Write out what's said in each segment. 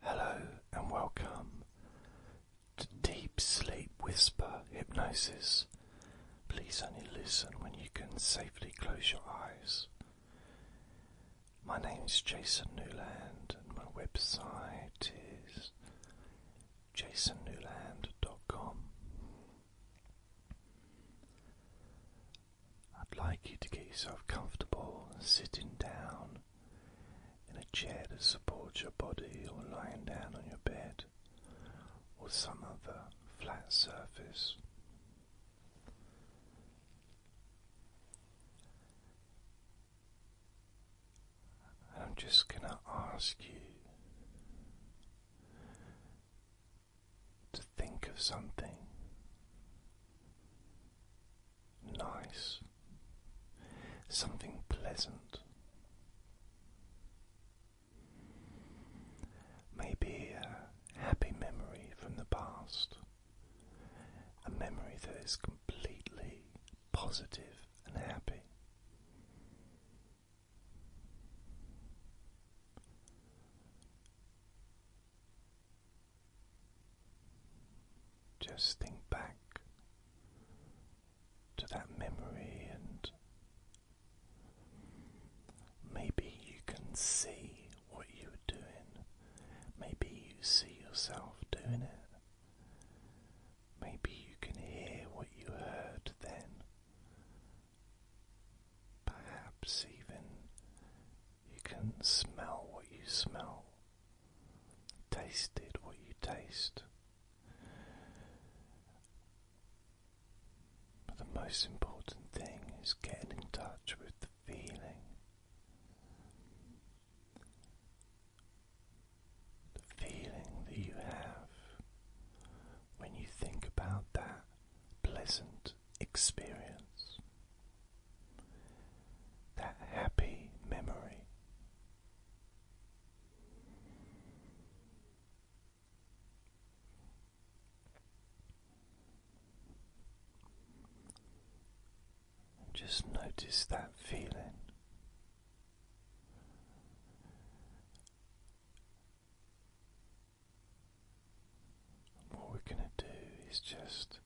Hello and welcome to Deep Sleep Whisper Hypnosis. Please only listen when you can safely close your eyes. My name is Jason Newland and my website is jasonnewland.com. I'd like you to get yourself comfortable sitting down in a chair that supports your body, or lying down on your bed, or some other flat surface. I'm just going to ask you to think of something nice, something pleasant. Maybe a happy memory from the past, a memory that is completely positive and happy. Just think back to that memory, and maybe you can see what you were doing. Maybe you see yourself doing it. Maybe you can hear what you heard then. Perhaps even you can smell what you smell, tasted what you taste. But the most important thing is getting in touch with the feeling. The feeling that you have when you think about that pleasant experience that happy memory. just notice that feeling. What we're going to do is just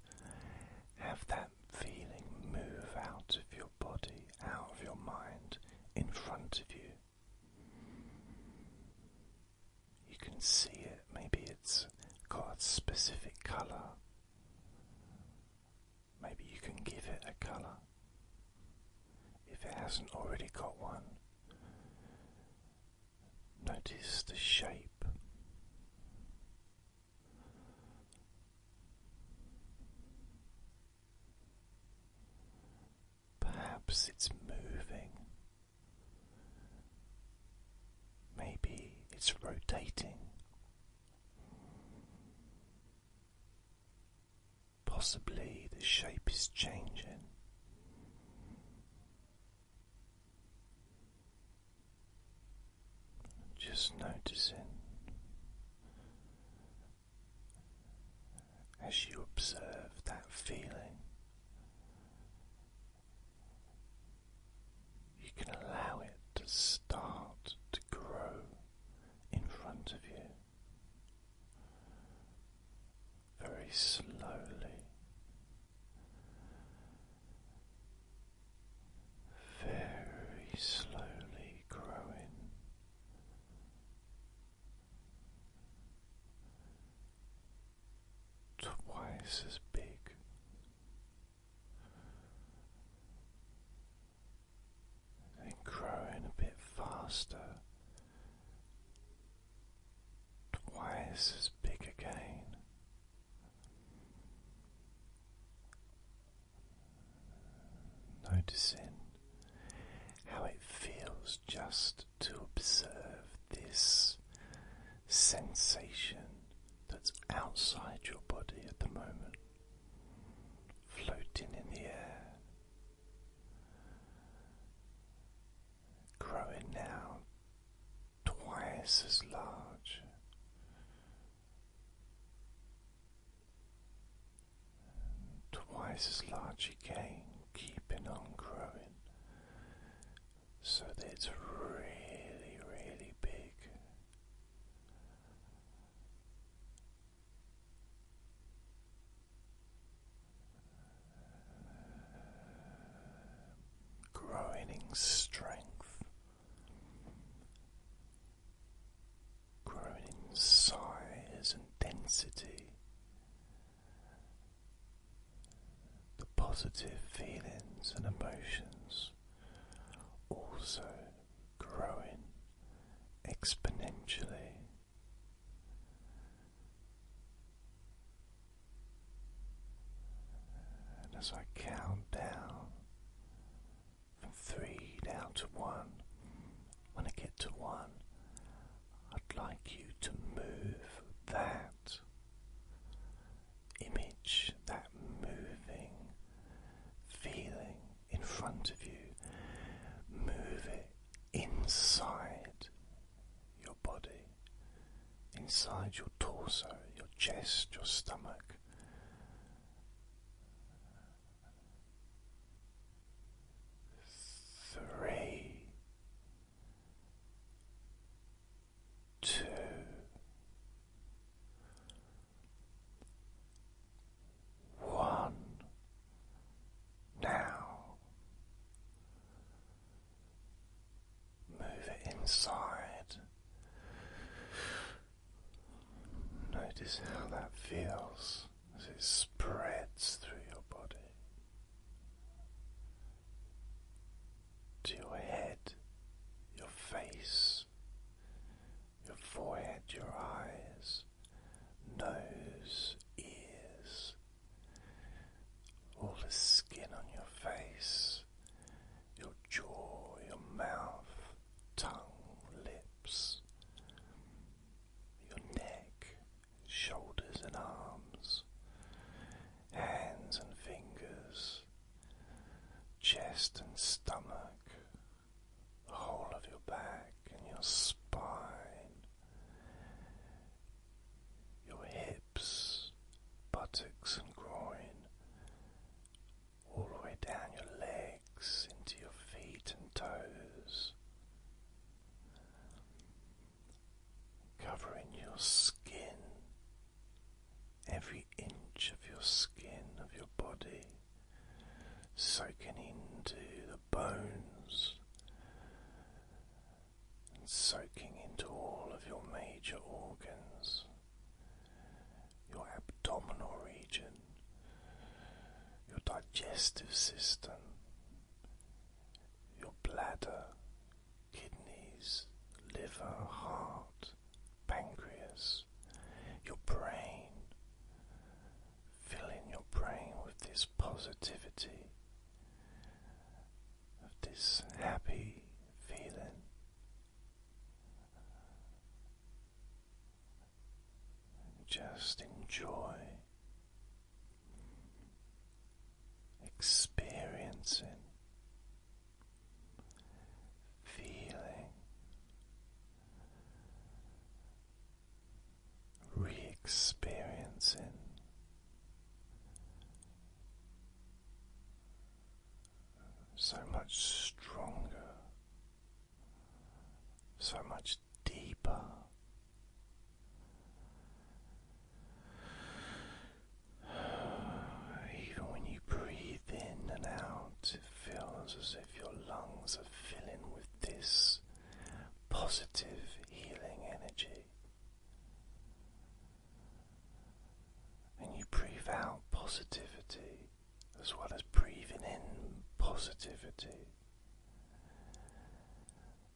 have that feeling move out of your body, out of your mind, in front of you. You can see it, maybe it's got a specific colour. Maybe you can give it a colour if it hasn't already got one. Notice the shape. Perhaps it's moving. Maybe it's rotating. Possibly the shape is changing. Just noticing as you observe that feeling, you can allow it to start to grow in front of you very slowly very slowly growing. Twice as big, and growing a bit faster twice as big again. Noticing how it feels just to observe this sensation that's outside your body at the moment, floating in the air growing now twice as large. Twice as large again, keeping on growing so that it's really, really big growing in strength, growing in size and density, the positive feelings and emotions also growing exponentially. And as I count down from three down to one, when I get to one, I'd like you to move that image, that moving feeling in front of you, move it inside your body, inside your torso, your chest, your stomach. Three, two, one. Now Move it inside. Notice how that feels as it spreads through your body to your head, your face, your forehead, your eyes, nose, ears, all the skin on your face, your jaw, your mouth, tongue, lips, your neck, shoulders and arms, hands and fingers, chest and stomach, the whole of your back and your spine your hips, buttocks, and groin, all the way down your legs into your feet and toes, covering your skin, every inch of your skin of your body. Soaking into the bones, and soaking into all of your major organs, your abdominal region, your digestive system, your bladder, kidneys, liver, heart, pancreas, your brain, filling your brain with this positivity, of this happy feeling. Just enjoy experiencing, feeling re experiencing so much stronger, so much deeper. Even when you breathe in and out, it feels as if your lungs are filling with this positive healing energy. And you breathe out positivity as well as breathing in positivity.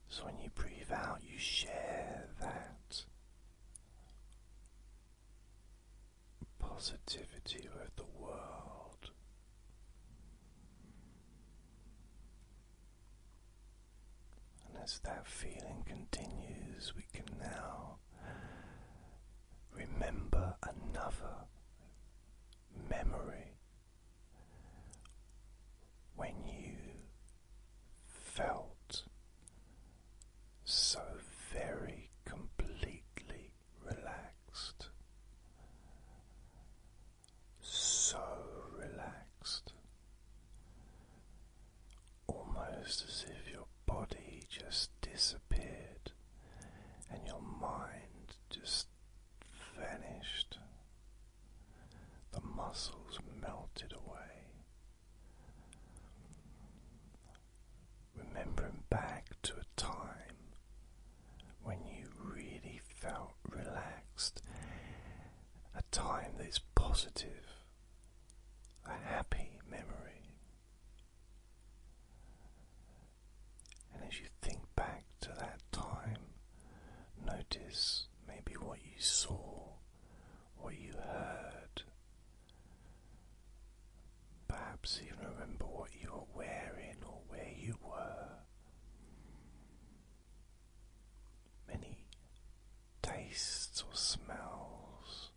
So when you breathe out, you share that positivity with the world. And as that feeling continues, we can now remember another memory when you felt so very completely relaxed so relaxed, almost as if your body just disappeared and your mind just vanished. The muscles melted away. Remembering back to a time when you really felt relaxed, a time that's positive, a happy memory. And as you think back to that time, notice maybe what you saw, what you heard. Perhaps even remember what you were wearing or where you were many tastes or smells,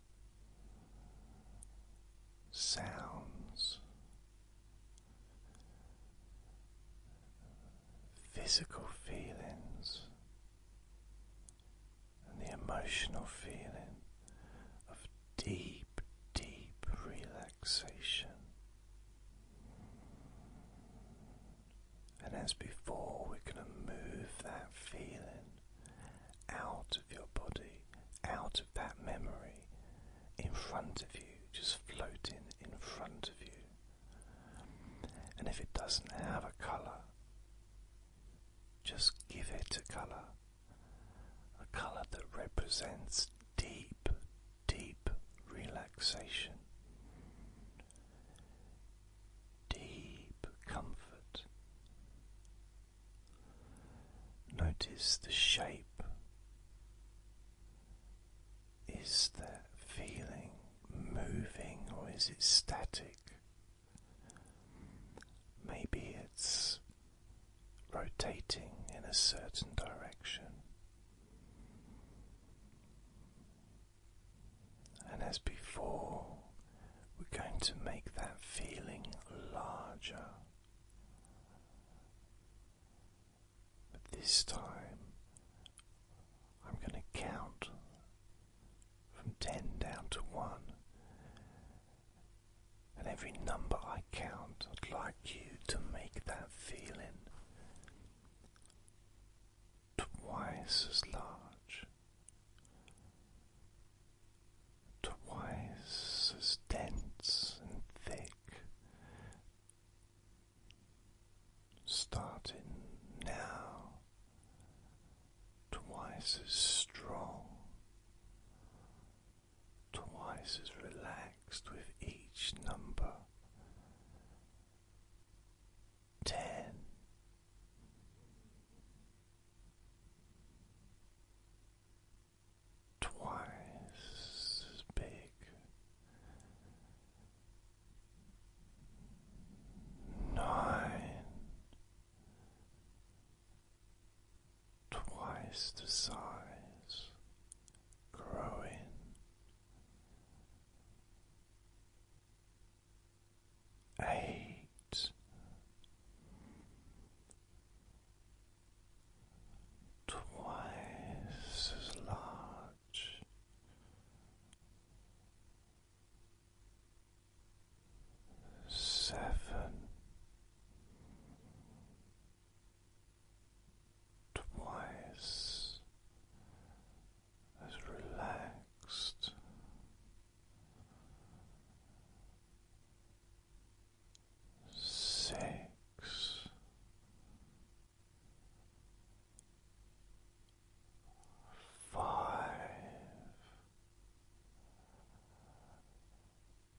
sounds, physical feelings, and the emotional feeling of deep, deep relaxation. And as before, we're going to move that feeling out of your body, out of that memory, in front of you, just floating in front of you. And if it doesn't have a colour, just give it a colour, a colour that represents deep, deep relaxation, deep comfort. Notice the shape. Is that feeling moving or is it static? Maybe it's rotating in a certain direction. And as before, we're going to make that feeling larger. But this time, I'm going to count from 10 down to 1 and every number I count, I'd like you to make that feeling twice as large, twice as dense and thick, starting now, twice as strong twice as relaxed with each number. Ten. Twice as big. Nine twice the size, growing. Eight, twice as large, seven twice as relaxed. Six five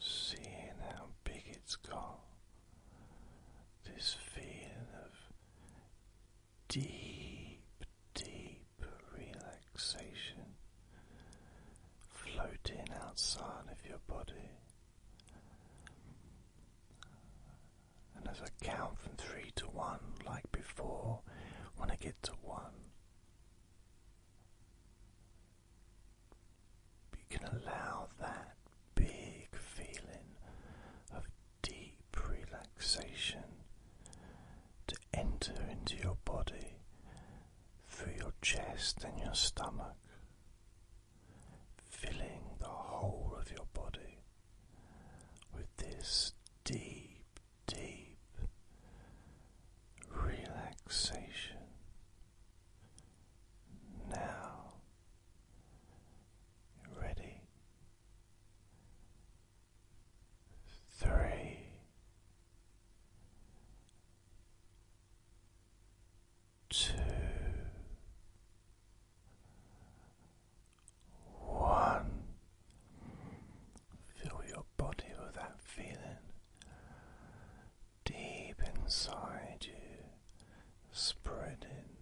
seeing how big it's got this feeling of deep, deep relaxation floating outside of your body. And as I count from three to one, like before, when I get to one, you can allow that big feeling of deep relaxation to enter into your body through your chest and your stomach, filling the whole of your body with this deep, deep relaxation. Now, ready. Three, two, one. Fill your body with that feeling deep inside you, spreading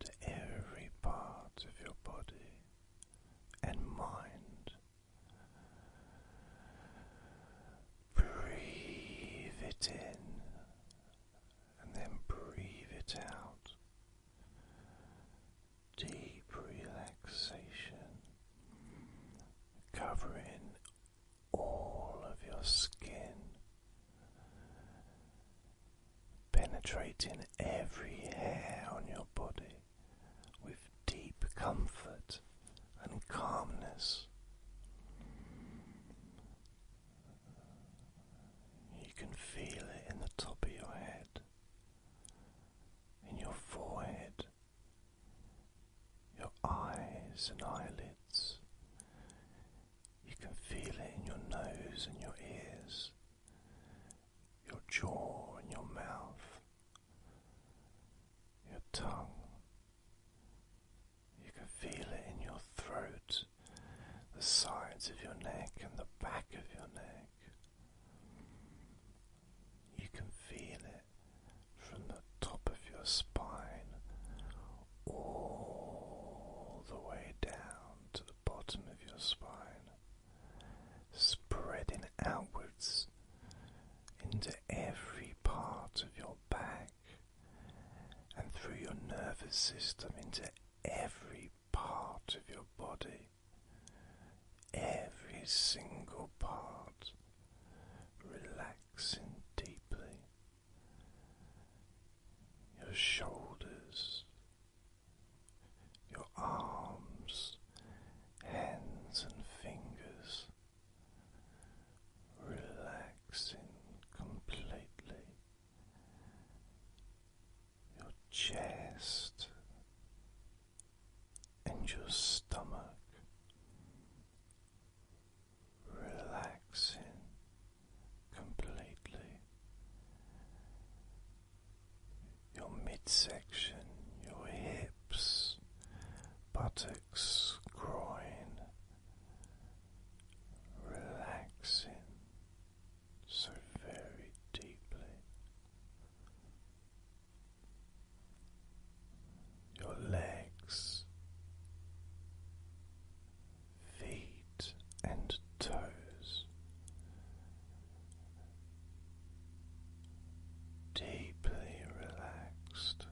to every part of your body and mind. Breathe it in and then breathe it out. Deep relaxation covering all of your skin, penetrating every hair on your body with deep comfort and calmness. You can feel it in the top of your head, in your forehead your eyes and eyelids. You can feel it in your nose and your ears, your jaw and your mouth, your tongue. You can feel it in your throat, the sides of your neck, and the back of your neck. You can feel it from the top of your spine all the way down to the bottom of your spine, spreading outwards into every part of your back and through your nervous system into every part of your body every single part relaxing deeply. Your shoulders, your arms, hands, and fingers relaxing completely. Your chest, and your stomach relaxing completely. Your midsection, your hips, buttocks, groin, relaxing so very deeply your legs, feet, and toes. Deeply relaxed,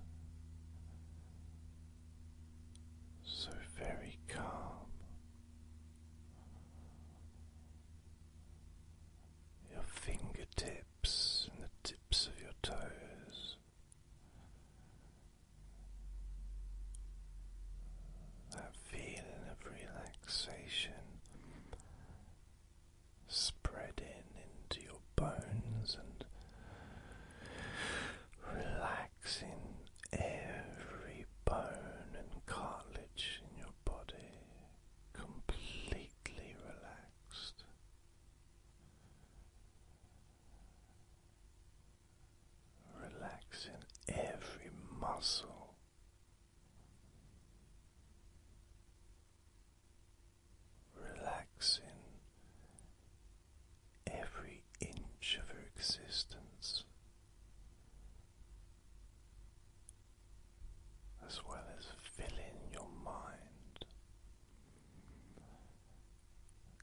so very calm, your fingertips and the tips of your toes. That feeling of relaxation spreading into your bones and relaxing every bone and cartilage in your body completely relaxed. Relaxing every muscle, relaxing every inch of her existence, as well as filling your mind,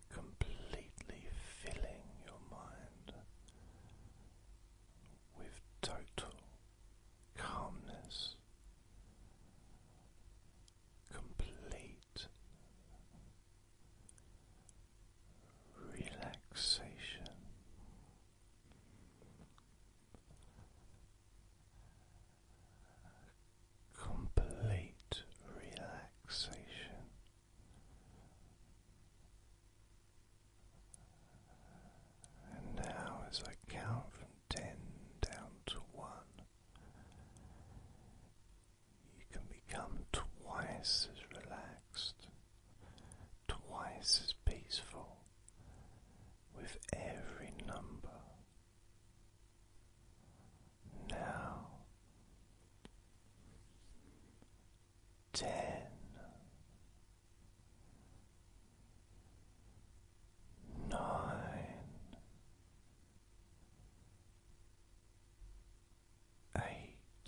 completely filling your mind with total calmness, complete relaxation complete relaxation. And now, as I count from ten down to one, you can become twice as relaxed twice as peaceful with every number. Now, ten, nine, eight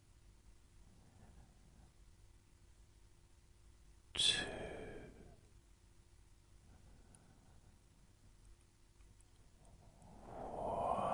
Two, one, one.